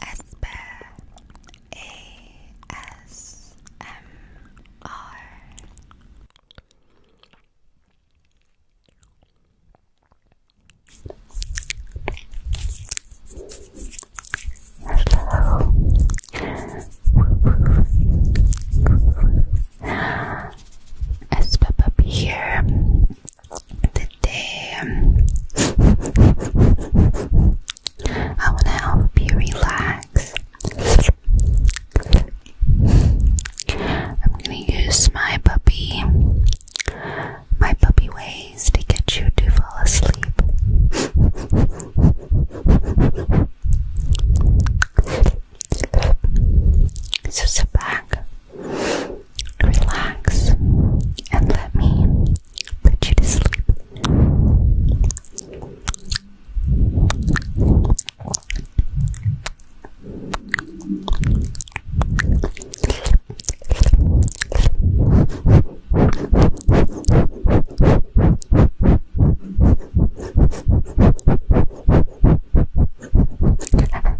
Asper A S M R Hello. Asper puppy here the damn. Um, I want to help you relax. I'm going to use my puppy, my puppy ways to get you to fall asleep. So sit back, Relax and let me put you to sleep. Close your eyes.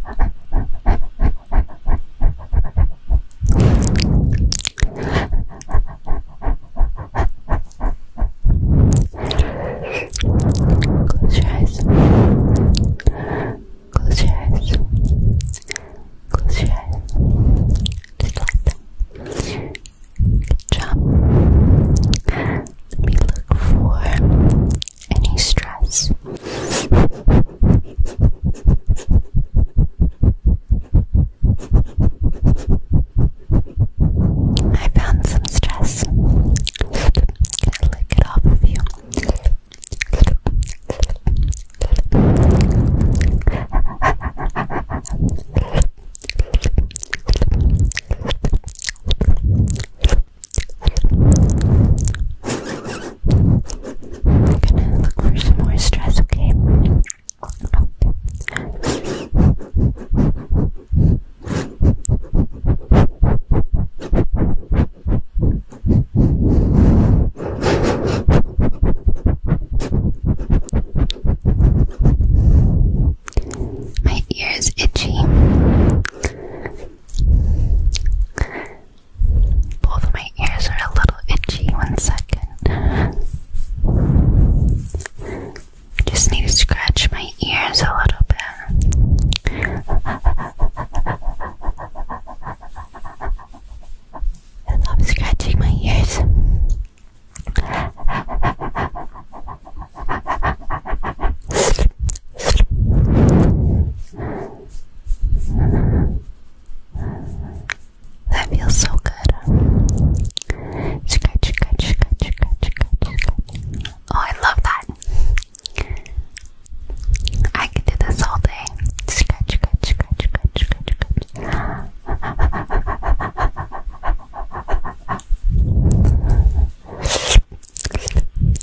Close your eyes. Close your eyes. Just like that. Good job. Let me look for any stress. I found some stress. Gonna lick it off of you. We're gonna look for some more stress, okay? My ear is itchy. Both my ears are a little itchy. One second. Just need to scratch my ears a little bit. I love scratching my ears. That feels so good. Scratch, scratch, scratch, scratch, scratch, scratch. Oh, I love that. I could do this all day. Scratch, scratch, scratch, scratch, scratch,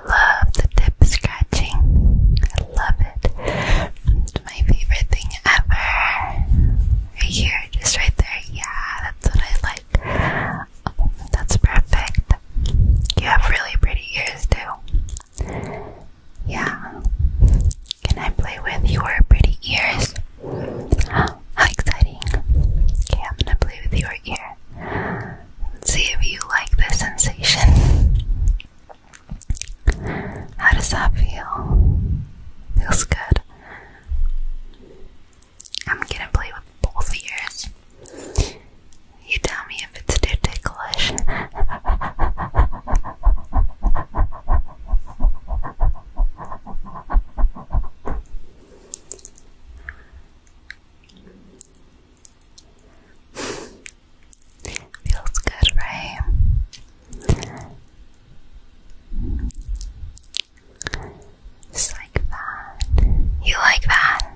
I love the tip scratching. I love it. It's my favorite thing ever. Right here, just right there. Yeah, that's what I like. that's perfect. You have really pretty ears too. Yeah. Can I play with your pretty ears? How exciting. Okay, I'm gonna play with your ear. See if you like this sensation. How does that feel? Feels good. I'm gonna play with both ears. You tell me if it's too ticklish. Feels good, right? Just like that. You like that?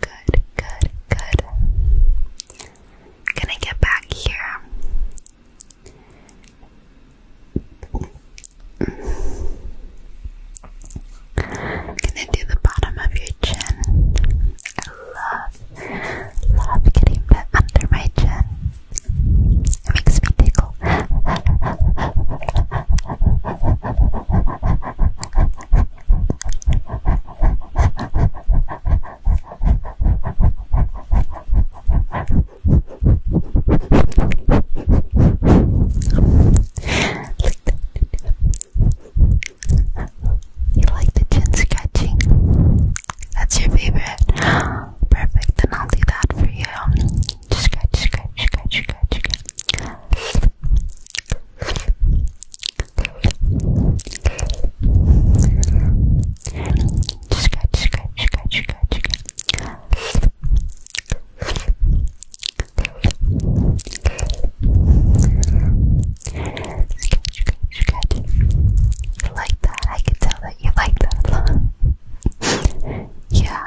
Good, good, good. Gonna get back here. I'm gonna do the bottom of your chin. I love, love getting bit under my chin. It makes me tickle. Like that. You like the chin scratching? That's your favorite. Perfect, then I'll do that for you. Just scratch, scratch, scratch, scratch, scratch. Just scratch, scratch, scratch, scratch, scratch. You like that? I can tell that you like that a lot. yeah.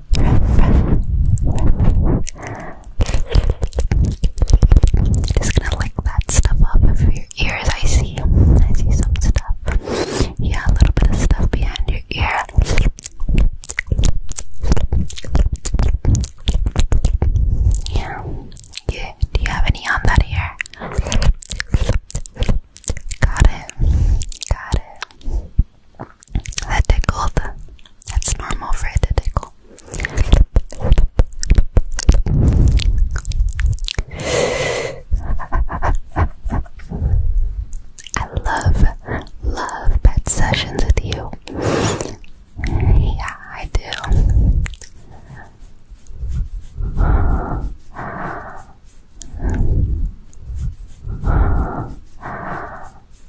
Just gonna lick that stuff off of your ears. I see, I see some stuff. Yeah, a little bit of stuff behind your ear. Yeah, yeah. Do you have any on that ear? Got it. Got it. That tickled. That's normal for it to tickle. I love, love pet sessions with you. Yeah, I do.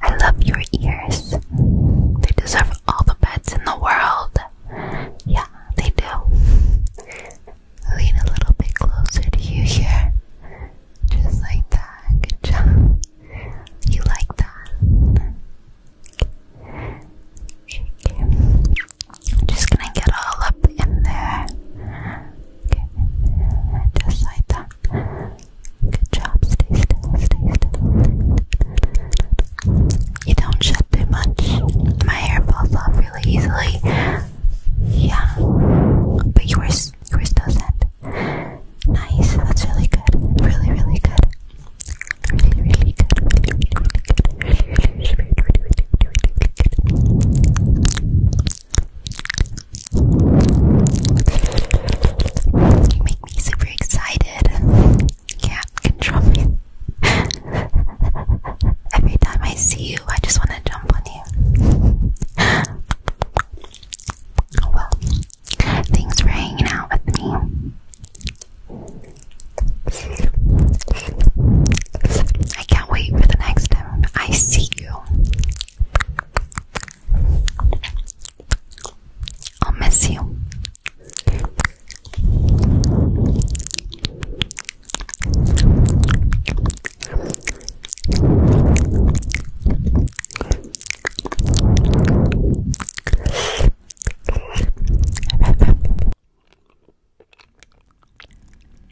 I love your ears. They deserve all the pets in the world. Yeah, they do. Lean a little bit closer to you here. Just like that. Good job. You like that. Shaky. I'm just gonna get all up in there. Okay, just like that. Good job. Stay still. Stay still. You don't shed too much. My hair falls off really easily. Yeah, but yours, yours doesn't. Nice. That's really good. Really, really good. Really, really good. Really, really good. You make me super excited. Can't control me. Every time I see you, I just want to jump on you. Oh well. Thanks for hanging out with me. I can't wait for the next time. I see you. I'll miss you.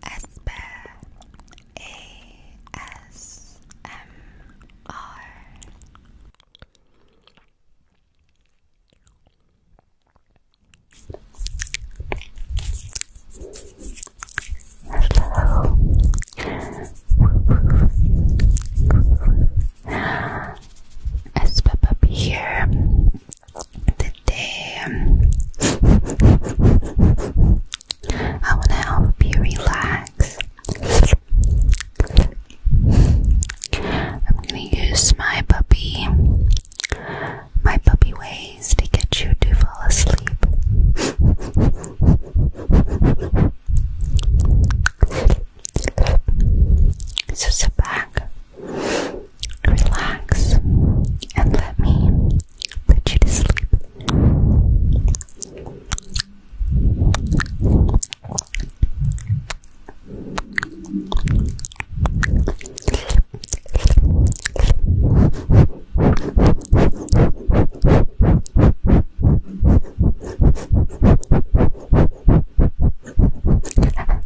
Asper A S M R Hello. Asper puppy here the damn. I want to help you relax. I'm going to use my puppy, my puppy ways to get you to fall asleep. So sit back, Relax and let me put you to sleep. Close your eyes.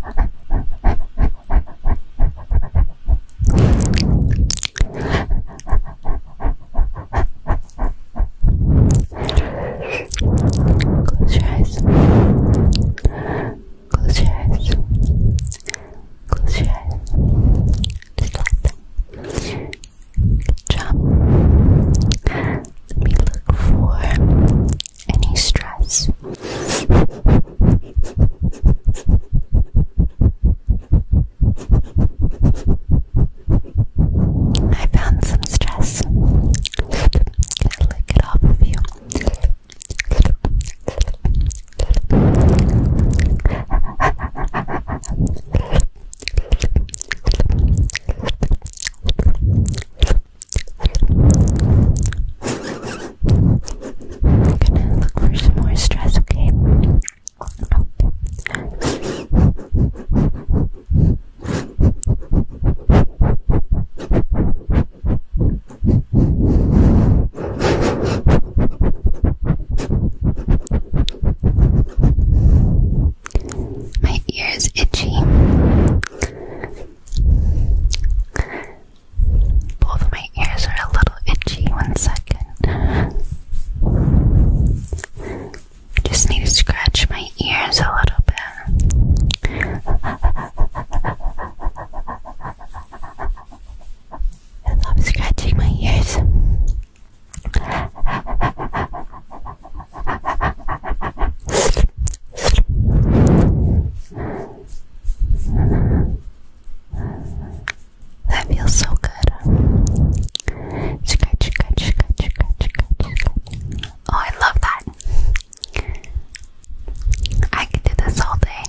Close your eyes. Close your eyes. Just like that. Good job. Let me look for any stress. I found some stress. Can lick it off of you? We're gonna look for some more stress, okay? My ear is itchy. Both my ears are a little itchy. One second. I Just need to scratch my ears a little bit. I am scratching my ears. That feels so good. Oh, I love that. I could do this all day.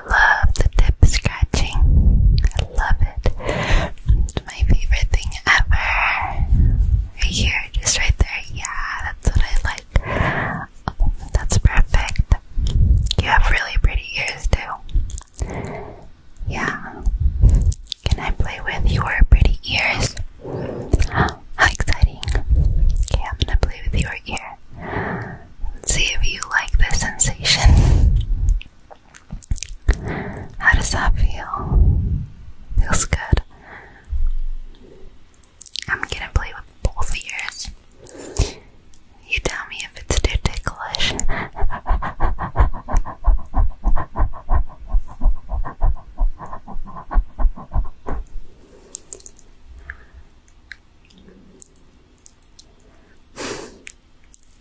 I love the tip scratching. I love it. It's my favorite thing ever. Right here, just right there. Yeah, that's what I like. Um, that's perfect. You have really pretty ears too. Yeah. Can I play with your pretty ears? How exciting. Okay, I'm gonna play with your ear see if you like this sensation. How does that feel? Feels good. I'm gonna play with both ears. You tell me if it's too ticklish. Feels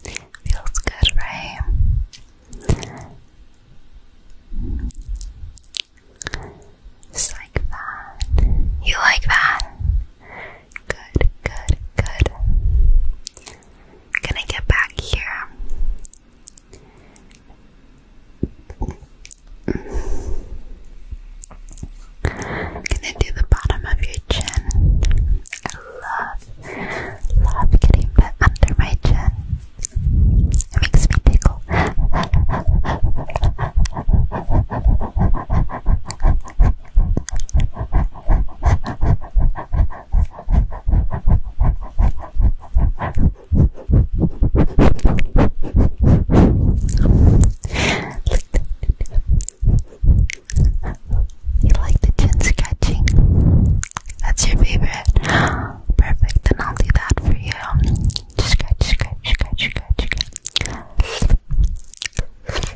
good, right? Just like that. You like that? Good, good, good. Gonna get back here i gonna do the bottom of your chin. I love, love getting bit under my chin. It makes me tickle. You like the chin sketching? That's your favorite. Perfect. Then I'll do that for you. Scratch, scratch, scratch, scratch, scratch. Scratch,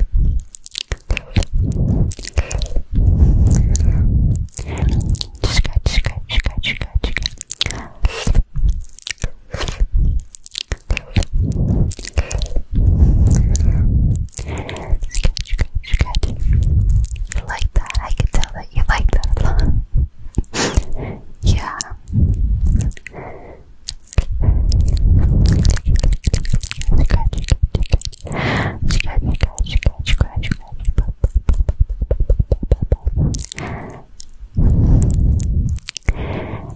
scratch, scratch, scratch, scratch. Scratch, scratch, scratch. You like that? I can tell that you like that a lot. yeah. Scratch, scratch, scratch, scratch, scratch, scratch.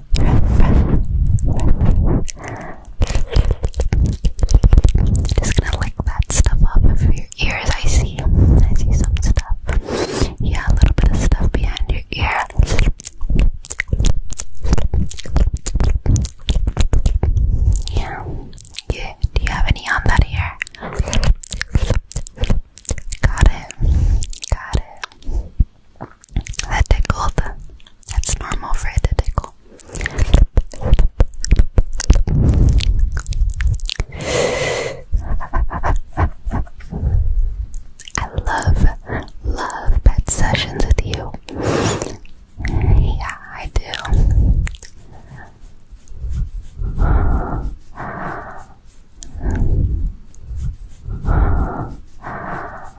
Just gonna lick that stuff off of your ears. I see, I see some stuff. Yeah, a little bit of stuff behind your ear. Yeah, yeah. Do you have any on that ear? Got it. Got it. That tickled. That's normal for it to tickle. I love, love pet sessions with you. Yeah, I do.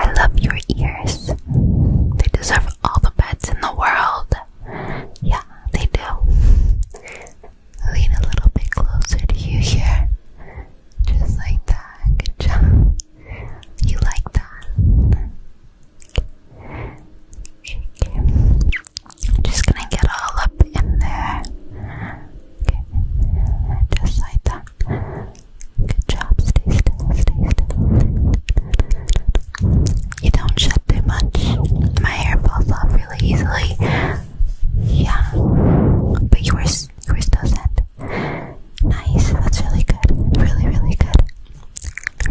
I love your ears. They deserve all the pets in the world. Yeah, they do. Lean a little bit closer to you here. Just like that. Good job. You like that. Okay. I'm just gonna get all up in there. Okay, just like that. Good job, stay still, stay still. You don't shut too much. My hair falls off really easily. Yeah, but you were, you were Nice, that's really good. Really, really good.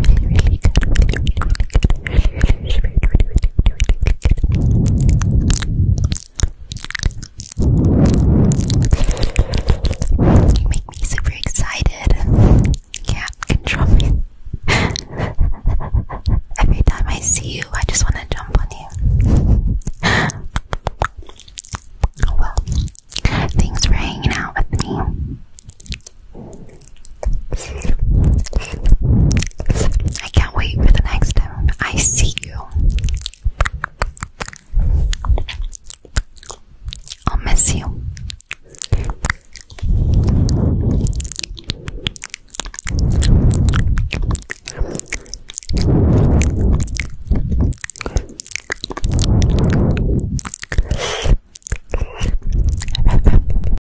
Really, really good. You make me super excited. Can't control me. Every time I see you, I just want to jump on you. Oh well. Thanks for hanging out with me. I can't wait for the next time I see you. I'll miss you.